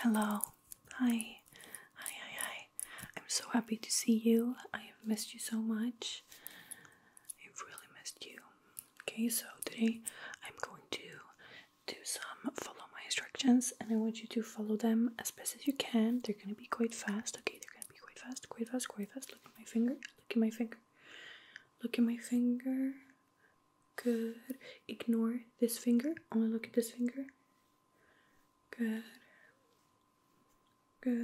Hello. Hi. Hi, hi, I'm so happy to see you. I have missed you so much. I've really missed you. Okay, so today I'm going to do some follow my instructions and I want you to follow them as best as you can. They're gonna be quite fast. Okay, they're gonna be quite fast, quite fast, quite fast. Look at my finger, look at my finger, look at my finger. Good. Ignore this finger. Only look at this finger. Good. Good.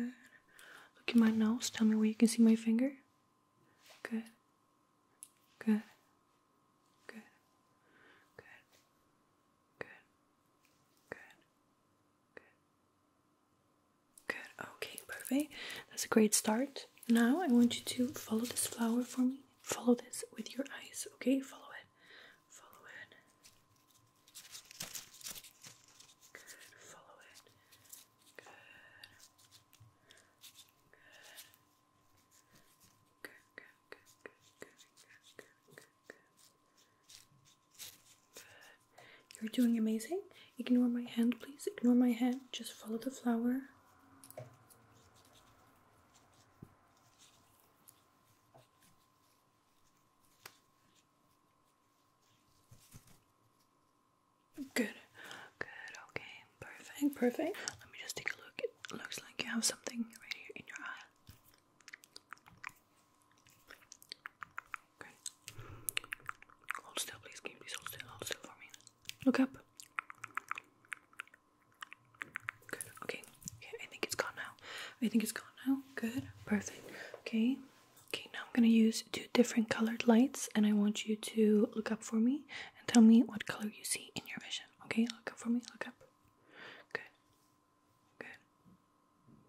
Look at my nose. Tell me where you can see my finger. Good. Good. Good. Good. Good. Good. Good. Okay, perfect. That's a great start. Now I want you to follow this flower for me follow this with your eyes, okay? Follow it. Follow it. Good. Follow it. Good. Good. Good. Good. Good. Good. Good. Good. You're doing amazing. Ignore my hand, please. Ignore my hand. Just follow the flower. Good, good, okay, perfect, perfect. Let me just take a look. It looks like you have something right here in your eye. Good. Hold still, please. Can you please hold still? Hold still for me. Look up. Good. Okay. Okay. I think it's gone now. I think it's gone now. Good. Perfect. Okay. Okay. Now I'm gonna use two different colored lights, and I want you to look up for me and tell me what color you see in your vision. Okay. Look up for me. Look up. Good. Good.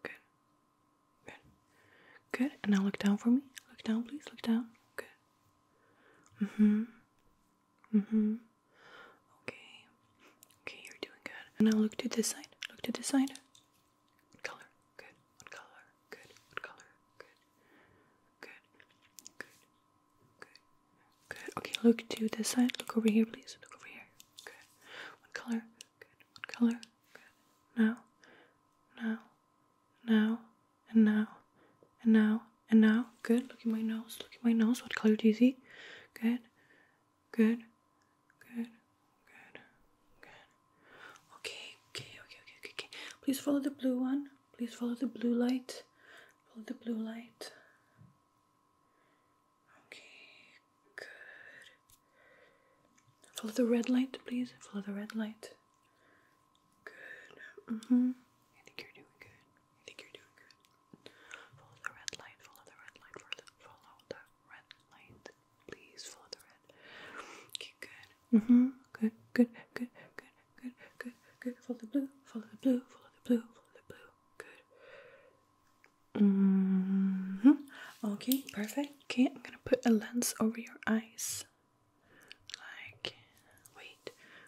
Good. Good. Good. And now look down for me. Look down, please. Look down. Good. Mm hmm. Mm-hmm. Okay. Okay, you're doing good. And now look to this side. Look to this side. color? Good. What color? Good. What color? Good. Good. Good. Good. Good. Okay, look to this side. Look over here, please. Look over here. Okay. What color? Good. What color? Good. Now. Now. Now. And now. And now and now. Good. Look at my nose. Look at my nose. What color do you see? Good. Good. Good. Good. Good. Okay. Okay. Okay. Okay. Okay. Please follow the blue one. Please follow the blue light. Follow the blue light. Okay. Good. Follow the red light, please. Follow the red light. Good. hmm I think you're doing good. I think you're doing good. Follow the red light, follow the red light, follow the, follow the red light. Please follow the red. Okay, good. Mm-hmm. Good, good, good, good, good, good, good. Follow the blue, follow the blue, follow the blue, follow the blue. Good. Mm-hmm. Okay, perfect. Okay, I'm gonna put a lens over your eyes. Like, wait,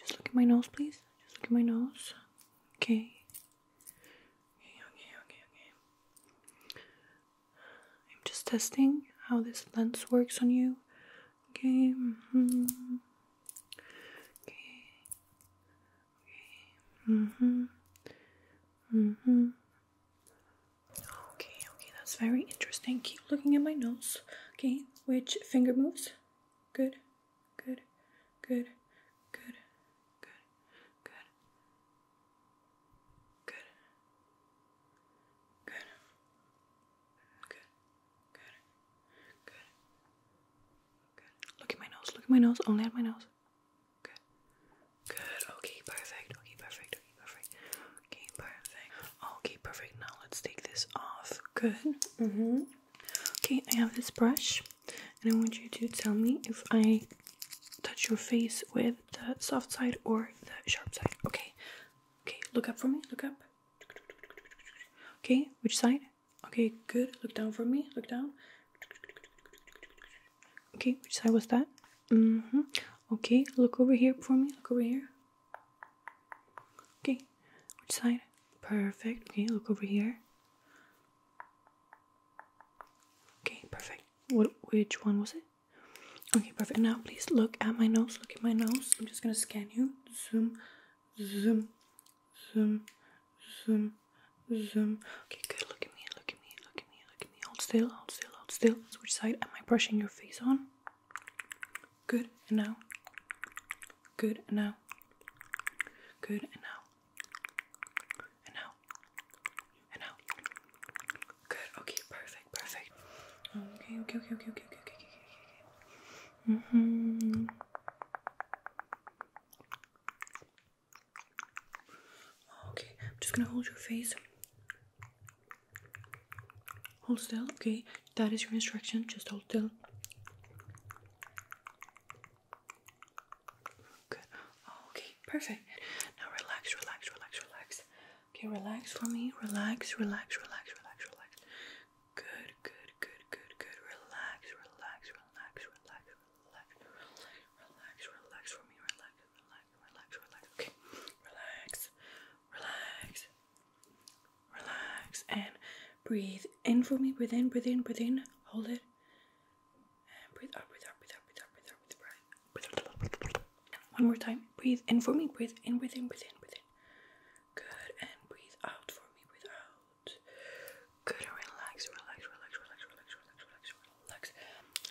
just look at my nose, please. Just look at my nose. Okay. Okay, okay, okay, I'm just testing how this lens works on you. Okay. Mm -hmm. Okay. Okay. Mm-hmm. Mm-hmm. Okay, okay, that's very interesting. Keep looking at my nose. Okay, which finger moves? Good good, good, good, good, good, good, good, good, good, good, good. Look at my nose, look at my nose, only at my nose. Good. Good. Okay, perfect. Okay, perfect. Okay, perfect. Okay, perfect. Okay, perfect. Now let's take this off. Good. Mm-hmm. Okay, I have this brush, and I want you to tell me if I touch your face with the soft side or the sharp side. Okay, okay, look up for me, look up. Okay, which side? Okay, good. Look down for me, look down. Okay, which side was that? hmm. Okay, look over here for me, look over here. Okay, which side? Perfect. Okay, look over here. Okay, perfect. What? Which one was it? Okay, perfect. Now, please look at my nose. Look at my nose. I'm just gonna scan you. Zoom, zoom, zoom, zoom, zoom. Okay, good. Look at me. Look at me. Look at me. Look at me. Hold still. Hold still. Hold still. So which side am I brushing your face on? Good and now. Good and now. Good and now. And now. And now. Good. Okay. Perfect. Perfect. Okay. Okay. Okay. Okay. Okay. Okay. Okay. okay, okay. Mm hmm. Okay. I'm just gonna hold your face. Hold still, okay? That is your instruction. Just hold still. Good. Oh, okay, perfect. Now relax, relax, relax, relax. Okay, relax for me. Relax, relax, relax, relax, relax. Good, good, good, good, good. Relax, relax, relax, relax, relax, relax, relax for me. Relax, relax, relax, relax. Okay, relax, relax. Relax and breathe in for me. Breathe in, breathe in, breathe in. Hold it. And breathe out, breathe out, breathe out, breathe out, breathe out, breathe out. Breathe out. Breathe out. One more time. Breathe in for me. Breathe in, breathe in, breathe in, breathe in. Good. And breathe out for me. Breathe out. Good. Relax, relax, relax, relax, relax, relax, relax, relax.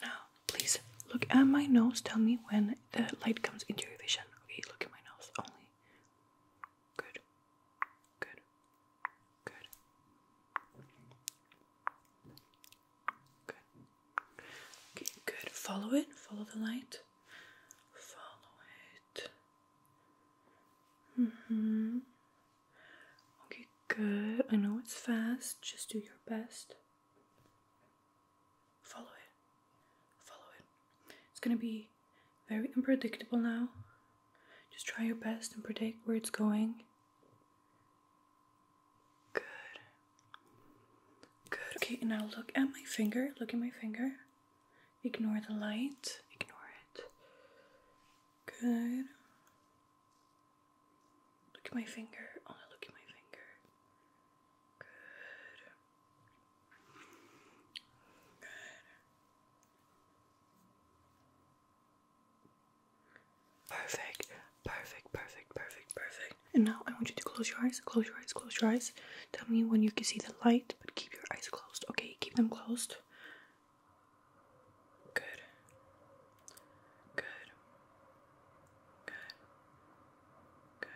Now, please look at my nose. Tell me when the light comes into your vision. Okay, look at my nose only. Good. Good. Good. Good. Okay, good. Follow it. Follow the light. Follow it. Mm-hmm. Okay, good. I know it's fast. Just do your best. Follow it follow it. It's gonna be very unpredictable now. Just try your best and predict where it's going. Good. Good. Okay, now look at my finger. Look at my finger. Ignore the light. Ignore it. Good. Look at my finger. Only look at my finger. Good. Perfect, perfect, perfect, perfect, perfect. And now I want you to close your eyes, close your eyes, close your eyes. Tell me when you can see the light, but keep your eyes closed, okay? Keep them closed. Good. Good. Good. Good. Good.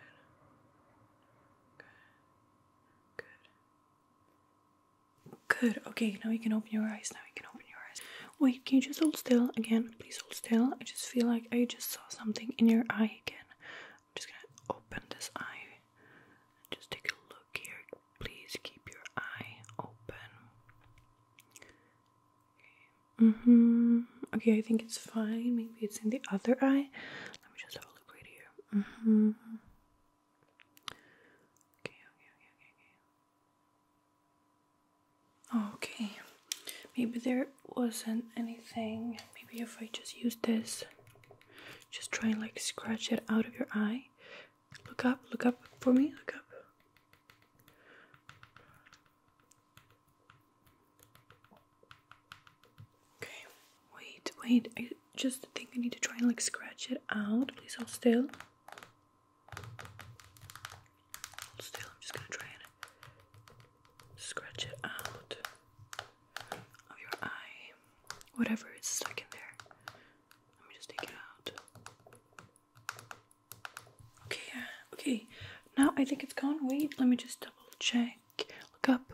Good. Good. Okay, now you can open your eyes. Now you can open your eyes. Wait, can you just hold still again? Please hold still. I just feel like I just saw something in your eye again. I'm just gonna open this eye. Just take a look here. Please keep your eye open. Okay. Mm hmm. Okay, I think it's fine. Maybe it's in the other eye. Let me just have a look right here. Mm -hmm. Okay, okay, okay, okay, okay. Okay. Maybe there wasn't anything. Maybe if I just use this, just try and like scratch it out of your eye. Look up, look up for me, look up. Okay, wait, wait. I just think I need to try and like scratch it out. Please hold still. Hold still, I'm just gonna try and scratch it out of your eye. Whatever is stuck in there. Let me just take it out. Okay, uh, okay. Now I think it's gone. Wait, let me just double check. Look up.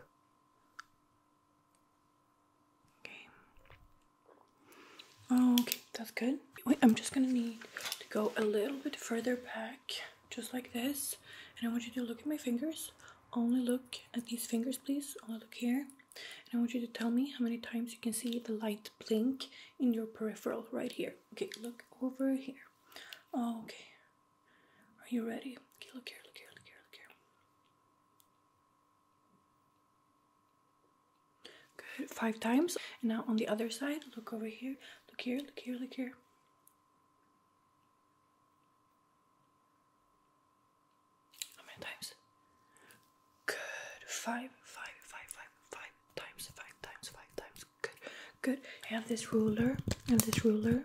Okay. Okay, that's good. Wait, I'm just gonna need to go a little bit further back, just like this. And I want you to look at my fingers. Only look at these fingers, please. Only look here. And I want you to tell me how many times you can see the light blink in your peripheral right here. Okay, look over here. Okay, are you ready? Okay, look here, look here, look here, look here. Good, five times. And now on the other side, look over here, look here, look here, look here. How many times? Good, five, five, five, five, five times, five times, five times. Good, good. I have this ruler, and this ruler.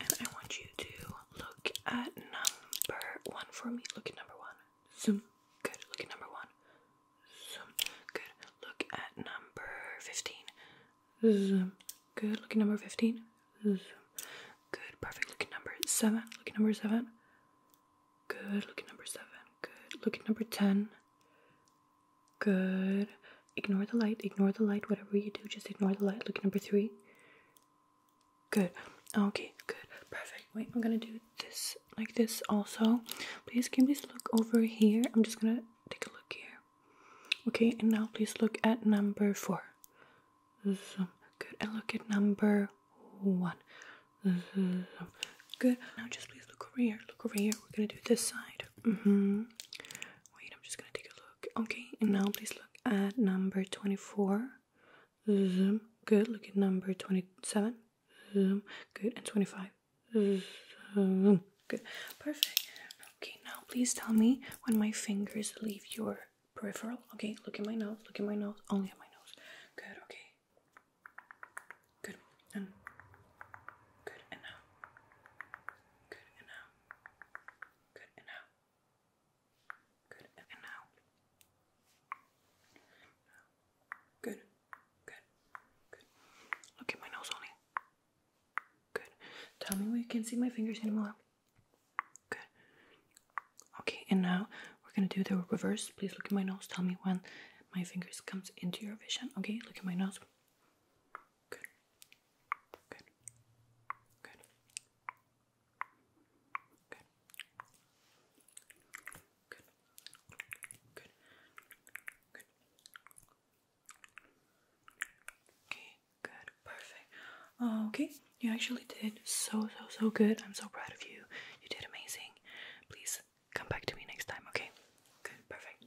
And I want you to look at number one for me. Look at number one. Zoom. Good. Look at number one. Zoom. Good. Look at number 15. Zoom. Good. Look at number 15. Zoom. Good. Perfect. Look at number 7. Look at number 7. Good. Look at number 7. Good. Look at number 10. Good. Ignore the light. Ignore the light. Whatever you do, just ignore the light. Look at number three. Good. Okay, good. Perfect. Wait, I'm gonna do this like this also. Please, can you please look over here? I'm just gonna take a look here. Okay, and now please look at number four. Good. And look at number one. Good. Now just please look over here. Look over here. We're gonna do this side. hmm Wait, I'm just gonna take a look. Okay, and now please look at number 24. Zoom. Good. Look at number 27. Zoom. Good. And 25. Zoom. Good. Perfect. Okay, now please tell me when my fingers leave your peripheral. Okay, look at my nose. Look at my nose. Only at my nose. Good. Okay. Good. And good. And now. Good. And now. Good and out. Good and out. Good. Good. Good. Look at my nose only. Good. Tell me where you can see my fingers anymore. Good. Okay, and now we're gonna do the reverse. Please look at my nose. Tell me when my fingers comes into your vision. Okay, look at my nose. Good. Good. Good. Good. Good. Good. Good. Okay, good, perfect. Okay, you actually did so, so, so good. I'm so proud of you. You did amazing. Please come back to me next time, okay? Good, perfect.